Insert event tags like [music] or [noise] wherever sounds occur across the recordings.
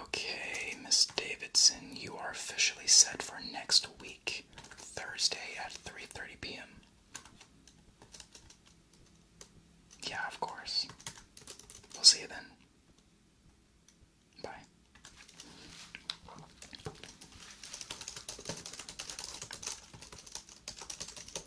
Okay, Miss Davidson, you are officially set for next week, Thursday at 3:30 p.m. Yeah, of course. We'll see you then. Bye.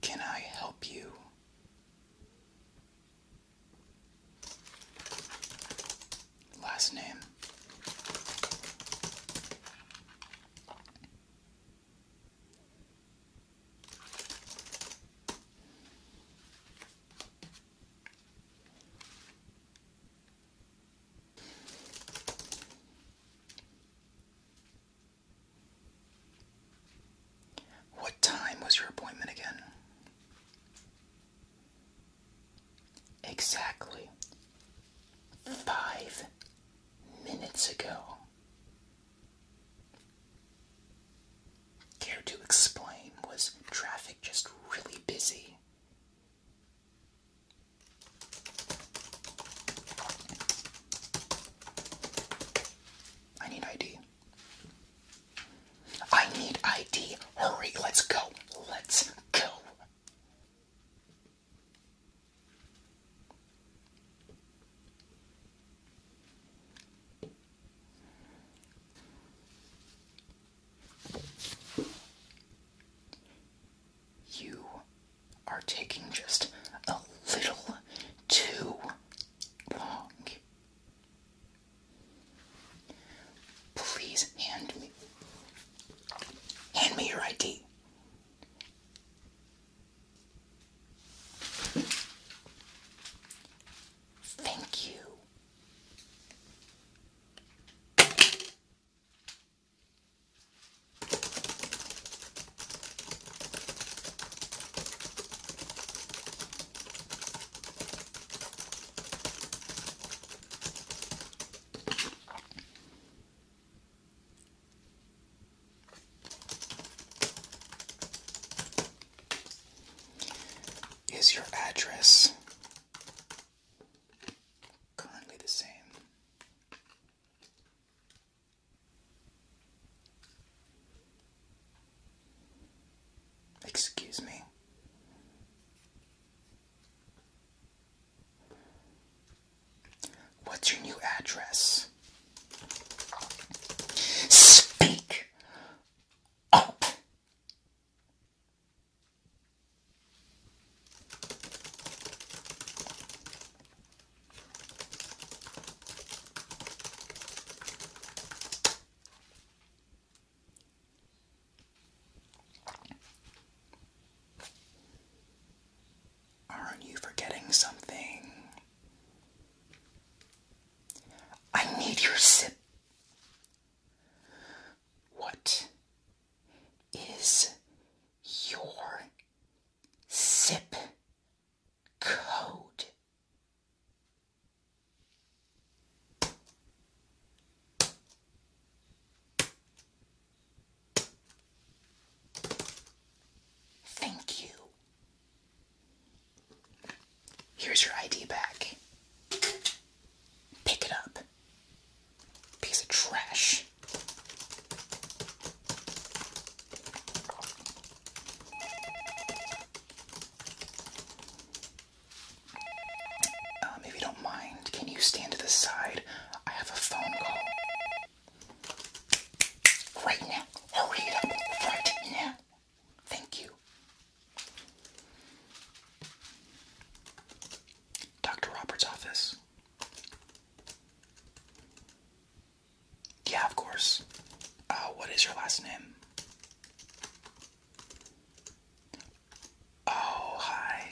Can I help you? Last name. What time was your appointment again? Exactly five minutes ago. Care to explain? Was traffic just really busy? I need ID. I need ID. Hurry, let's go. Let's go. You are taking just a little too long. Please hand me. Hand me your ID. Thank you. Is your address currently the same? Excuse me. What's your new address? Speak up. Aren't you forgetting something? I need your sip. What is your sip code. Thank you. Here's your ID back. Pick it up. Piece of trash. Uh, if you don't mind, can you stand to the side? I have a phone call. Right now. Hurry up. Right now. Thank you. Dr. Roberts' office. Yeah, of course. Uh, what is your last name? Oh, hi.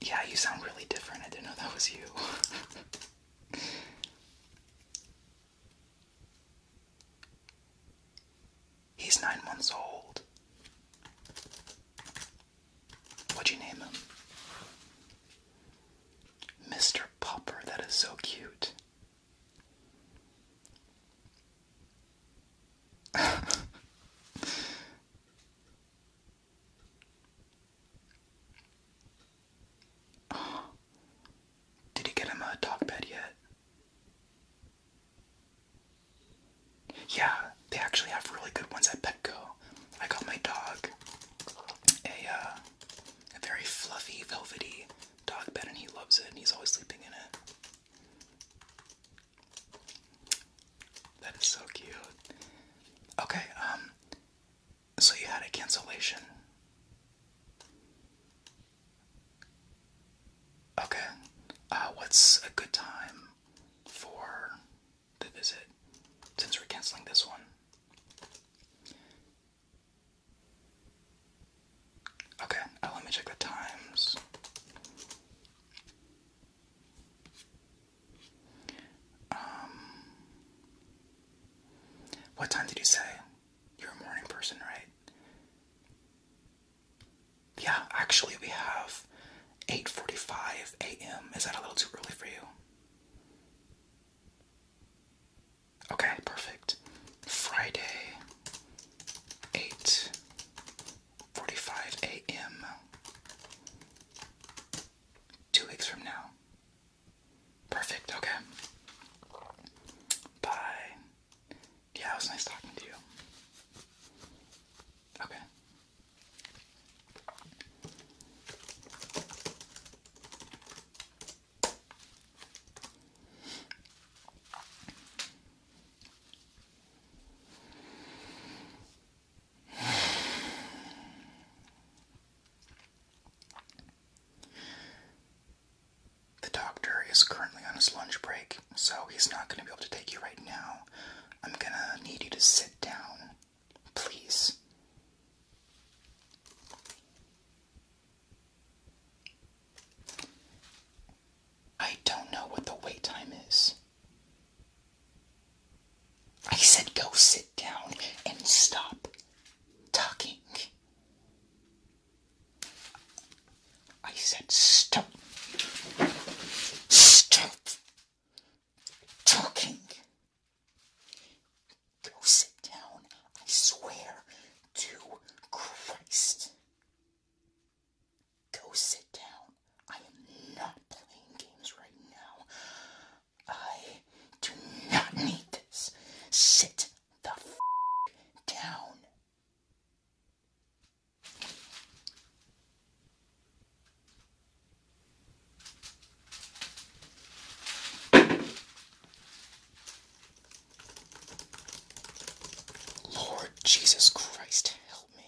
Yeah, you sound really different. I didn't know that was you. [laughs] He's nine months old. What'd you name him? Mr. Popper, that is so cute. [laughs] Did you get him a dog bed yet? Yeah, they actually have really good ones at Petco. I got my dog a, uh, a very fluffy, velvety dog bed, and he loves it, and he's always sleeping in it. That is so cute. Okay, um, so you had a cancellation. Okay, uh, what's a good time for the visit since we're canceling this one. Okay, uh, let me check the times. Um, what time did you say? You're a morning person, right? Yeah, actually, we have 8:45 a.m. Is that a little too early for you? Okay, perfect. Friday, 8:45 a.m. Two weeks from now. Perfect. Okay. Bye. Yeah, it was nice talking to you. Okay. The doctor is currently on his lunch break, so he's not going to be able to take you right now. I'm going to need you to sit down Please. I don't know what the wait time is. I said go sit down and stop talking. I said stop. Stop talking. Go sit down, I swear to Christ. Go sit down. I am not playing games right now. I do not need this. Sit the down. Lord Jesus Christ, help me.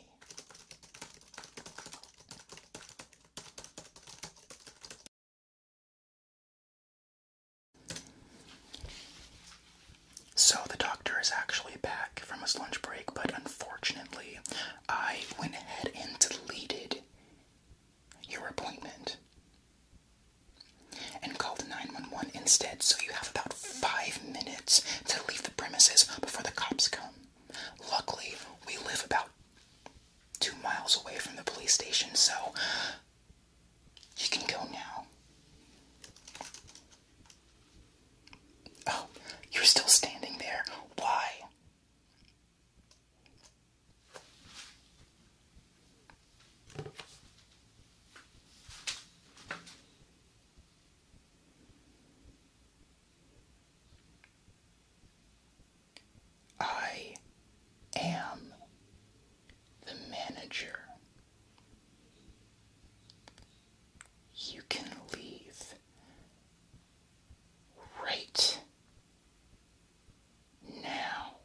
So the doctor is actually back from his lunch break, but unfortunately, I went ahead and deleted your appointment and called 911 instead, so you have about five minutes to leave the premises before the cops come. Luckily, we live about two miles away from the police station, so you can go now. Oh, you're still standing there. Why? I am the manager you can leave right now,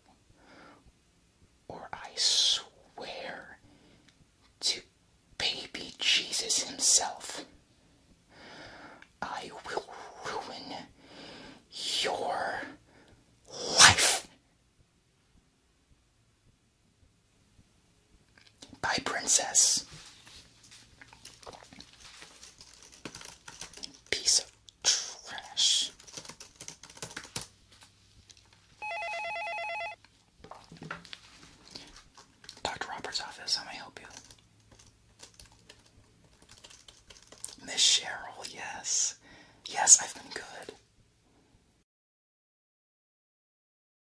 or I swear to baby Jesus himself, I will ruin your life. Bye, Princess. Piece of trash. Dr. Roberts' office, how may I help you? Miss Cheryl, yes. Yes, I've been good.